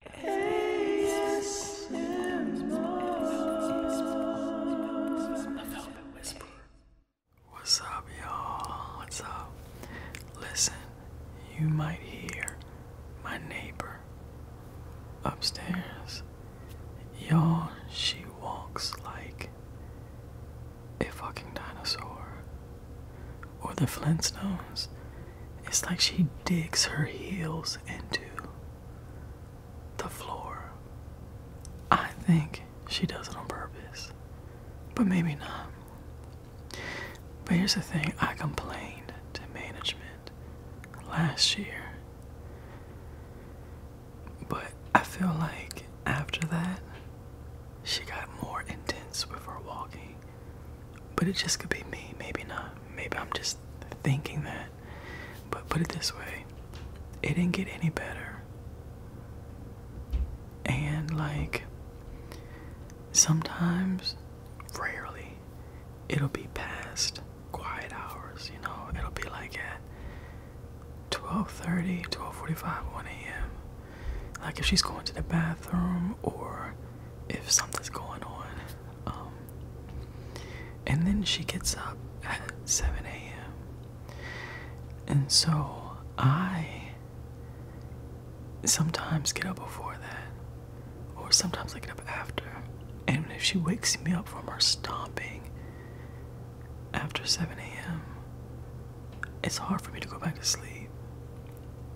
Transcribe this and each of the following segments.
What's up, y'all? What's up? Listen, you might hear my neighbor upstairs. Y'all, she walks like a fucking dinosaur. Or the Flintstones. It's like she digs her heels into the floor. I think she does it on purpose, but maybe not. But here's the thing I complained to management last year, but I feel like after that, she got more intense with her walking. But it just could be me. Maybe not. Maybe I'm just thinking that. But put it this way it didn't get any better. And like, sometimes, rarely, it'll be past quiet hours, you know, it'll be like at 12.30, 12.45, 1 a.m. Like if she's going to the bathroom or if something's going on, um, and then she gets up at 7 a.m. And so I sometimes get up before that, or sometimes I get up after. And if she wakes me up from her stomping after 7 a.m., it's hard for me to go back to sleep.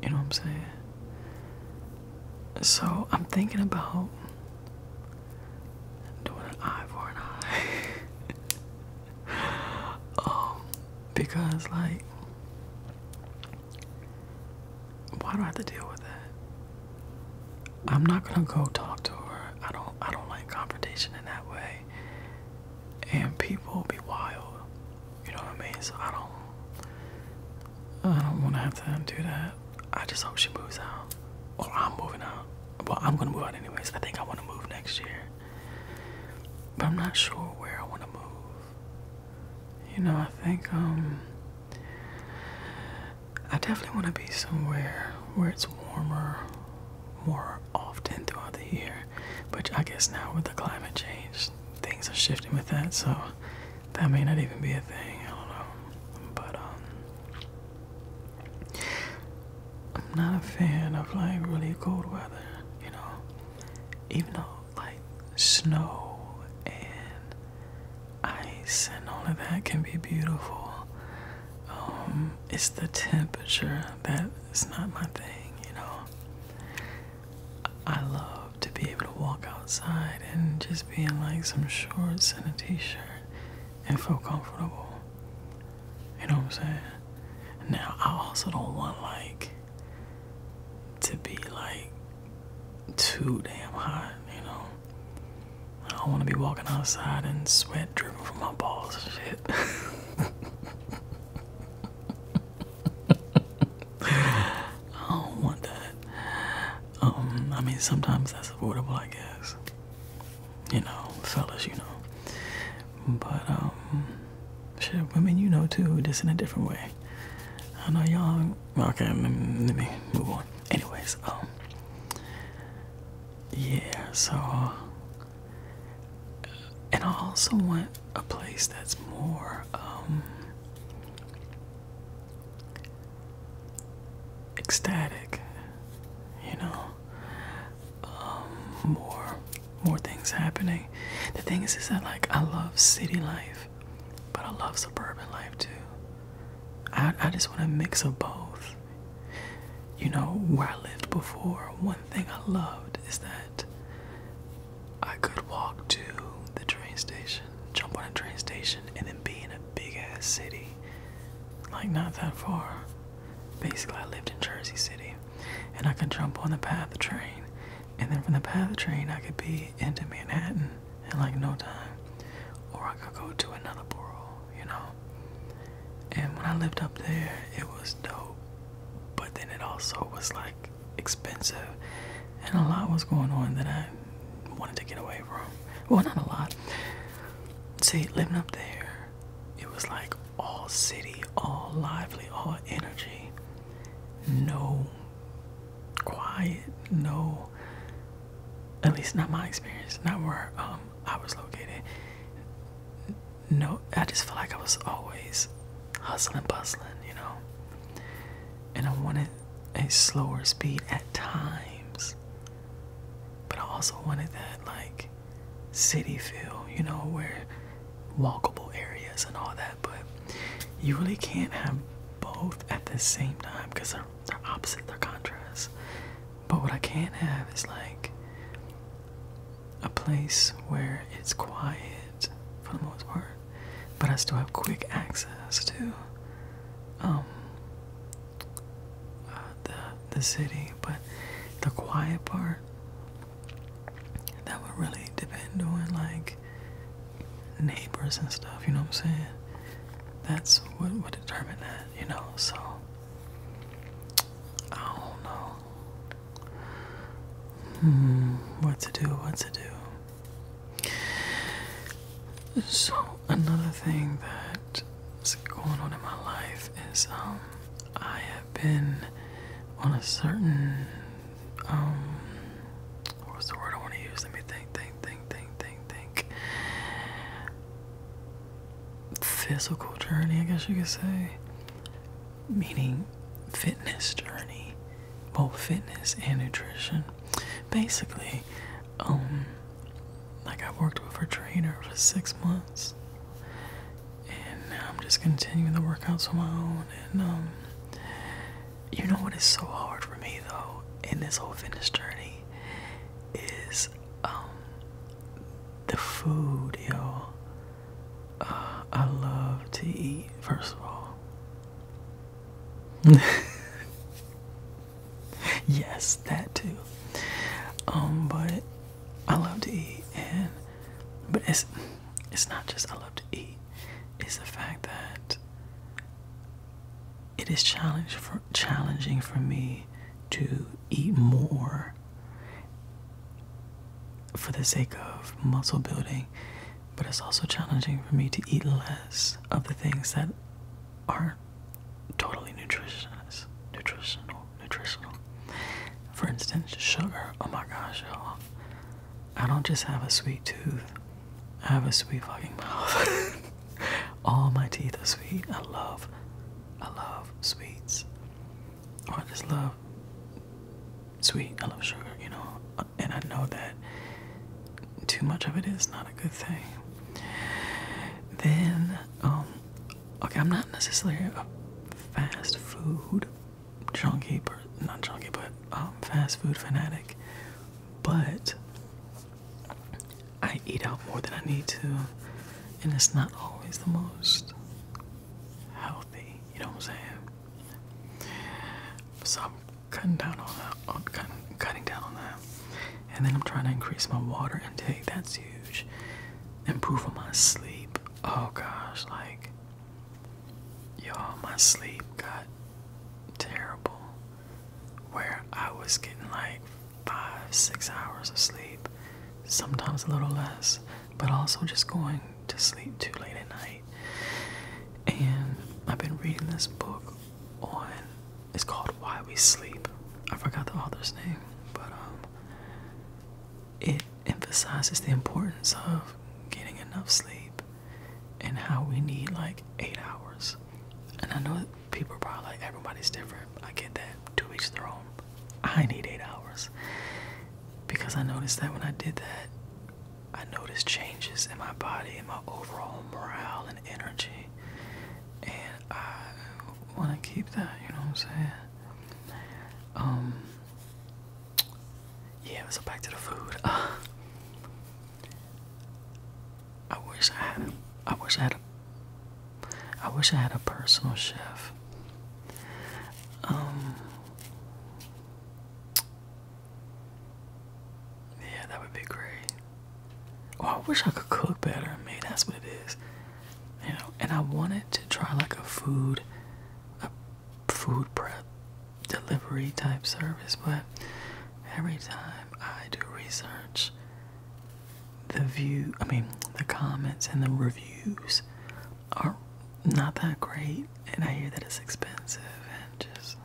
You know what I'm saying? So I'm thinking about doing an eye for an eye. um, because like why do I have to deal with that? I'm not gonna go talk to her. I don't I don't like confrontation in that way. And people be wild. You know what I mean? So I don't I don't wanna have to do that. I just hope she moves out. Or I'm moving out. Well I'm gonna move out anyways. I think I wanna move next year. But I'm not sure where I wanna move. You know, I think um I definitely wanna be somewhere where it's warmer more often throughout the year. But I guess now with the climate change things are shifting with that so that may not even be a thing. I don't know, but um, I'm not a fan of like really cold weather. You know, even though like snow and ice and all of that can be beautiful. Um, it's the temperature that is not my thing, you know. I love to be able to walk outside and just be in like some shorts and a t shirt and feel comfortable. You know what I'm saying? Now, I also don't want like to be like too damn hot, you know? I don't want to be walking outside and sweat dripping from my balls and shit. I don't want that. Um, I mean, sometimes that's affordable, I guess. You know, fellas, you know. But um, women, you know too, just in a different way. I know y'all. Okay, let me, move on. Anyways, um, yeah. So, and I also want a place that's more um, ecstatic, you know, um, more more things happening. The thing is, is that like I love city life, but I love suburban life too. I I just want a mix of both. You know, where I lived before, one thing I loved is that I could walk to the train station, jump on a train station, and then be in a big ass city. Like, not that far. Basically, I lived in Jersey City, and I could jump on the path of train, and then from the path of train, I could be into Manhattan in like no time. Or I could go to another borough, you know? And when I lived up there, it was dope. But then it also was like expensive, and a lot was going on that I wanted to get away from. Well, not a lot. See, living up there, it was like all city, all lively, all energy, no quiet, no. At least not my experience, not where um I was located. No, I just felt like I was always hustling, bustling, you know. And I wanted a slower speed at times, but I also wanted that like city feel, you know, where walkable areas and all that. But you really can't have both at the same time because they're, they're opposite, they're contrasts. But what I can have is like a place where it's quiet for the most part but I still have quick access to um, uh, the the city. But the quiet part that would really depend on like neighbors and stuff. You know what I'm saying? That's what would determine that. You know, so I don't know. Hmm, what to do, what to do. So, another thing that's going on in my life is um, I have been on a certain, um, what the word I want to use? Let me think, think, think, think, think, think. Physical journey, I guess you could say meaning fitness journey, both fitness and nutrition. Basically, um, like I worked with a trainer for six months, and now I'm just continuing the workouts on my own. And um, you know what is so hard for me though in this whole fitness journey is um, the food, y'all. Uh, I love to eat, first of all. yes, that too. Um, but I love to eat, and but it's it's not just I love to eat. It's the fact that it is challenge for challenging for me to eat more for the sake of muscle building but it's also challenging for me to eat less of the things that aren't totally nutritious, nutritional, nutritional. For instance, sugar. Oh my gosh, y'all! I don't just have a sweet tooth; I have a sweet fucking mouth. All my teeth are sweet. I love, I love sweets. I just love sweet. I love sugar, you know, and I know that too much of it is not a good thing. Then, um, okay, I'm not necessarily a fast food junkie, but not junkie, but um, fast food fanatic, but I eat out more than I need to, and it's not always the most healthy, you know what I'm saying? So I'm cutting down on that. cutting, cutting down on that. And then I'm trying to increase my water intake. That's huge. Improving my sleep. Oh gosh, like, y'all, my sleep got terrible. Where I was getting like five, six hours of sleep, sometimes a little less, but also just going to sleep too late at night and I've been reading this book on. It's called Why We Sleep. I forgot the author's name, but um, it emphasizes the importance of getting enough sleep and how we need like eight hours. And I know people are probably like everybody's different. I get that. Two each their own. I need eight hours because I noticed that when I did that, I notice changes in my body and my overall morale and energy, and I want to keep that. You know what I'm saying? Um. Yeah. So back to the food. I wish I had. A, I wish I had. A, I wish I had a personal chef. Um. Yeah, that would be great. Oh, I wish I could cook better. I mean, that's what it is. You know, and I wanted to try like a food, a food prep delivery type service, but every time I do research, the view, I mean, the comments and the reviews are not that great, and I hear that it's expensive, and just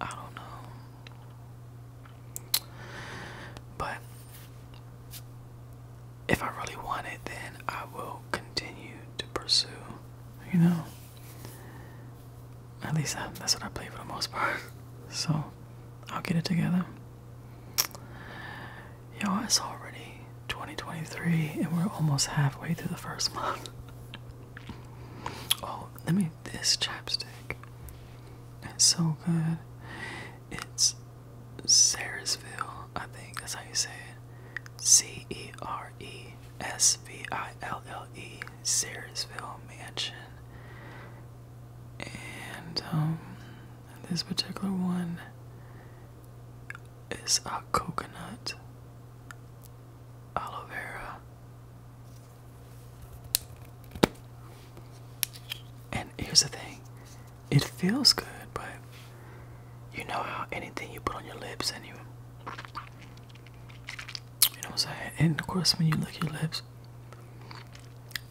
I don't know. But if I really want it, then I will continue to pursue. You know, at least that's what I play for the most part. So I'll get it together you it's already 2023 and we're almost halfway through the first month. oh, let me this chapstick. It's so good. It's Saresville, I think that's how you say it. C E R E S V I L L E Saresville Mansion. And um, this particular one is a coconut aloe vera and here's the thing it feels good but you know how anything you put on your lips and you you know what I'm saying and of course when you lick your lips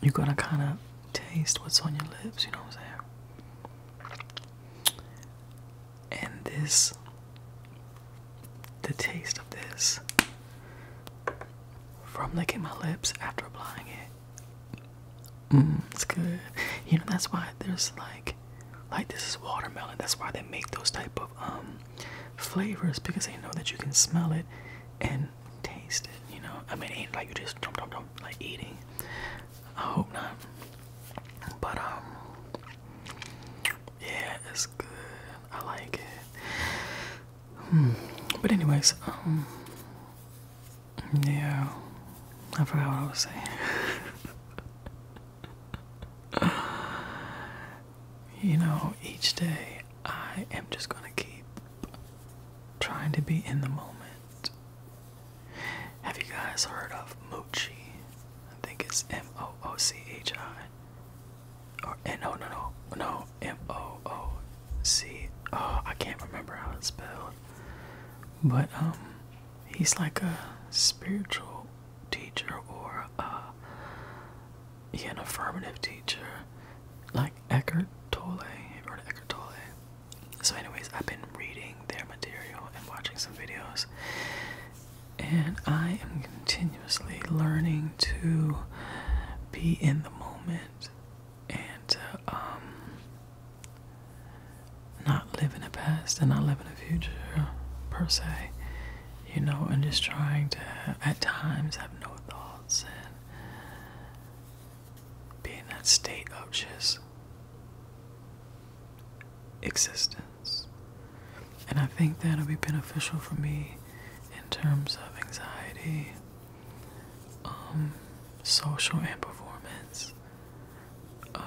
you're gonna kind of taste what's on your lips you know what I'm saying and this, the taste of this, from licking my lips after applying it, mm, it's good. You know that's why there's like, like this is watermelon. That's why they make those type of um flavors because they know that you can smell it and taste it. You know, I mean, it like you just dump dump like eating. I hope not. But um, yeah, it's good. I like it. Hmm. But anyways, um, yeah, I forgot what I was saying. you know, each day I am just gonna keep trying to be in the moment have you guys heard of Moochie? I think it's M O O C H I. Or and eh, no no no no M O O C. Oh, can't remember how it's spelled. But um, he's like a spiritual teacher or uh, yeah, an affirmative teacher, like Eckhart Tolle. or Eckhart Tolle? So, anyways, I've been reading their material and watching some videos, and I am continuously learning to be in the moment and to um, not live in the past and not live in the future per se, you know, and just trying to at times have no thoughts and be in that state of just existence. And I think that'll be beneficial for me in terms of anxiety, um, social and performance. Um,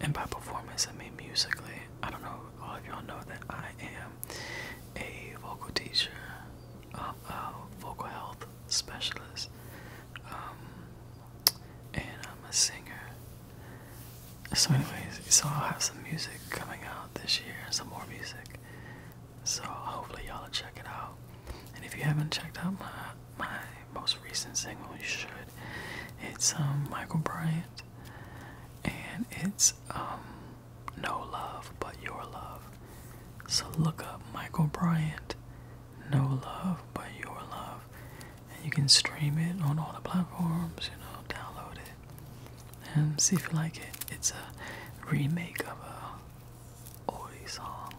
and by performance, I mean musically. I don't know, all of y'all know that I am a vocal teacher, a vocal health specialist. Um, and I'm a singer. So, anyways, so I'll have some music coming out this year, some more music. So hopefully y'all will check it out. And if you haven't checked out my my most recent single, you should. It's um, Michael Bryant, and it's um, No Love But Your Love. So look up Michael Bryant no Love But Your Love. And you can stream it on all the platforms, you know, download it. And see if you like it. It's a remake of a oldie song.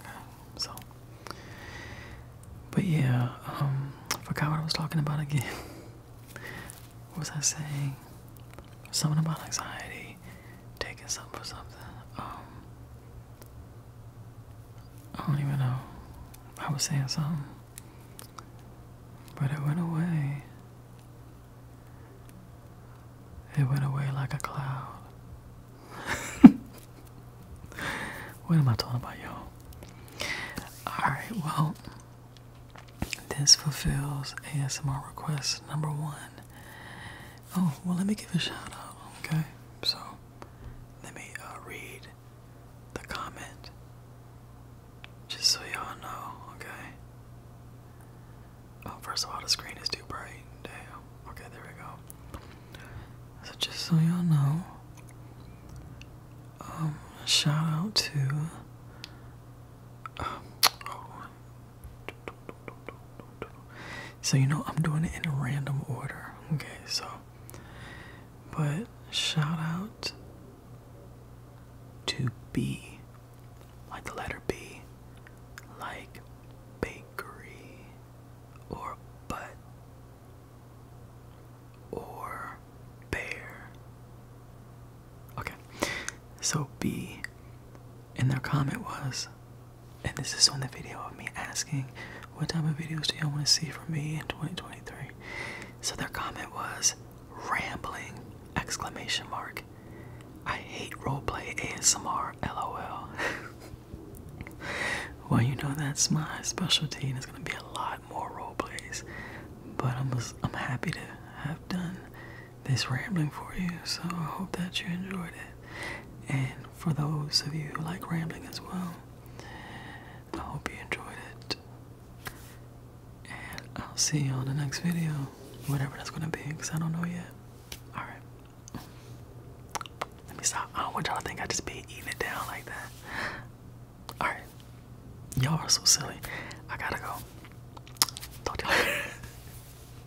Okay, so but yeah, um I forgot what I was talking about again. what was I saying? Something about anxiety taking something for um, something. I don't even know. I was saying something, but it went away. It went away like a cloud. what am I talking about, y'all? Alright, well, this fulfills ASMR request number one. Oh, well, let me give a shout out, okay? So, let me uh, read the comment just so y'all know, okay? Oh, first of all, the screen is too bright. Damn. Okay, there we go. So, just so y'all know, um, shout out to. Um, oh, so you know I'm doing it in a random order. Okay, so but shout out to B like the letter B like bakery or butt or bear. Okay. So B and their comment was and this is when the video of me asking what type of videos do y'all want to see from me in 2023 so their comment was rambling exclamation mark i hate roleplay asmr lol well you know that's my specialty and it's going to be a lot more role plays but i'm, I'm happy to have done this rambling for you. So I hope that you enjoyed it. And for those of you who like rambling as well, I hope you enjoyed it. And I'll see you on the next video, whatever that's gonna be, because I don't know yet. Alright. Let me stop. I don't want y'all to think I just be eating it down like that. Alright. Y'all are so silly. I gotta go. Talk to you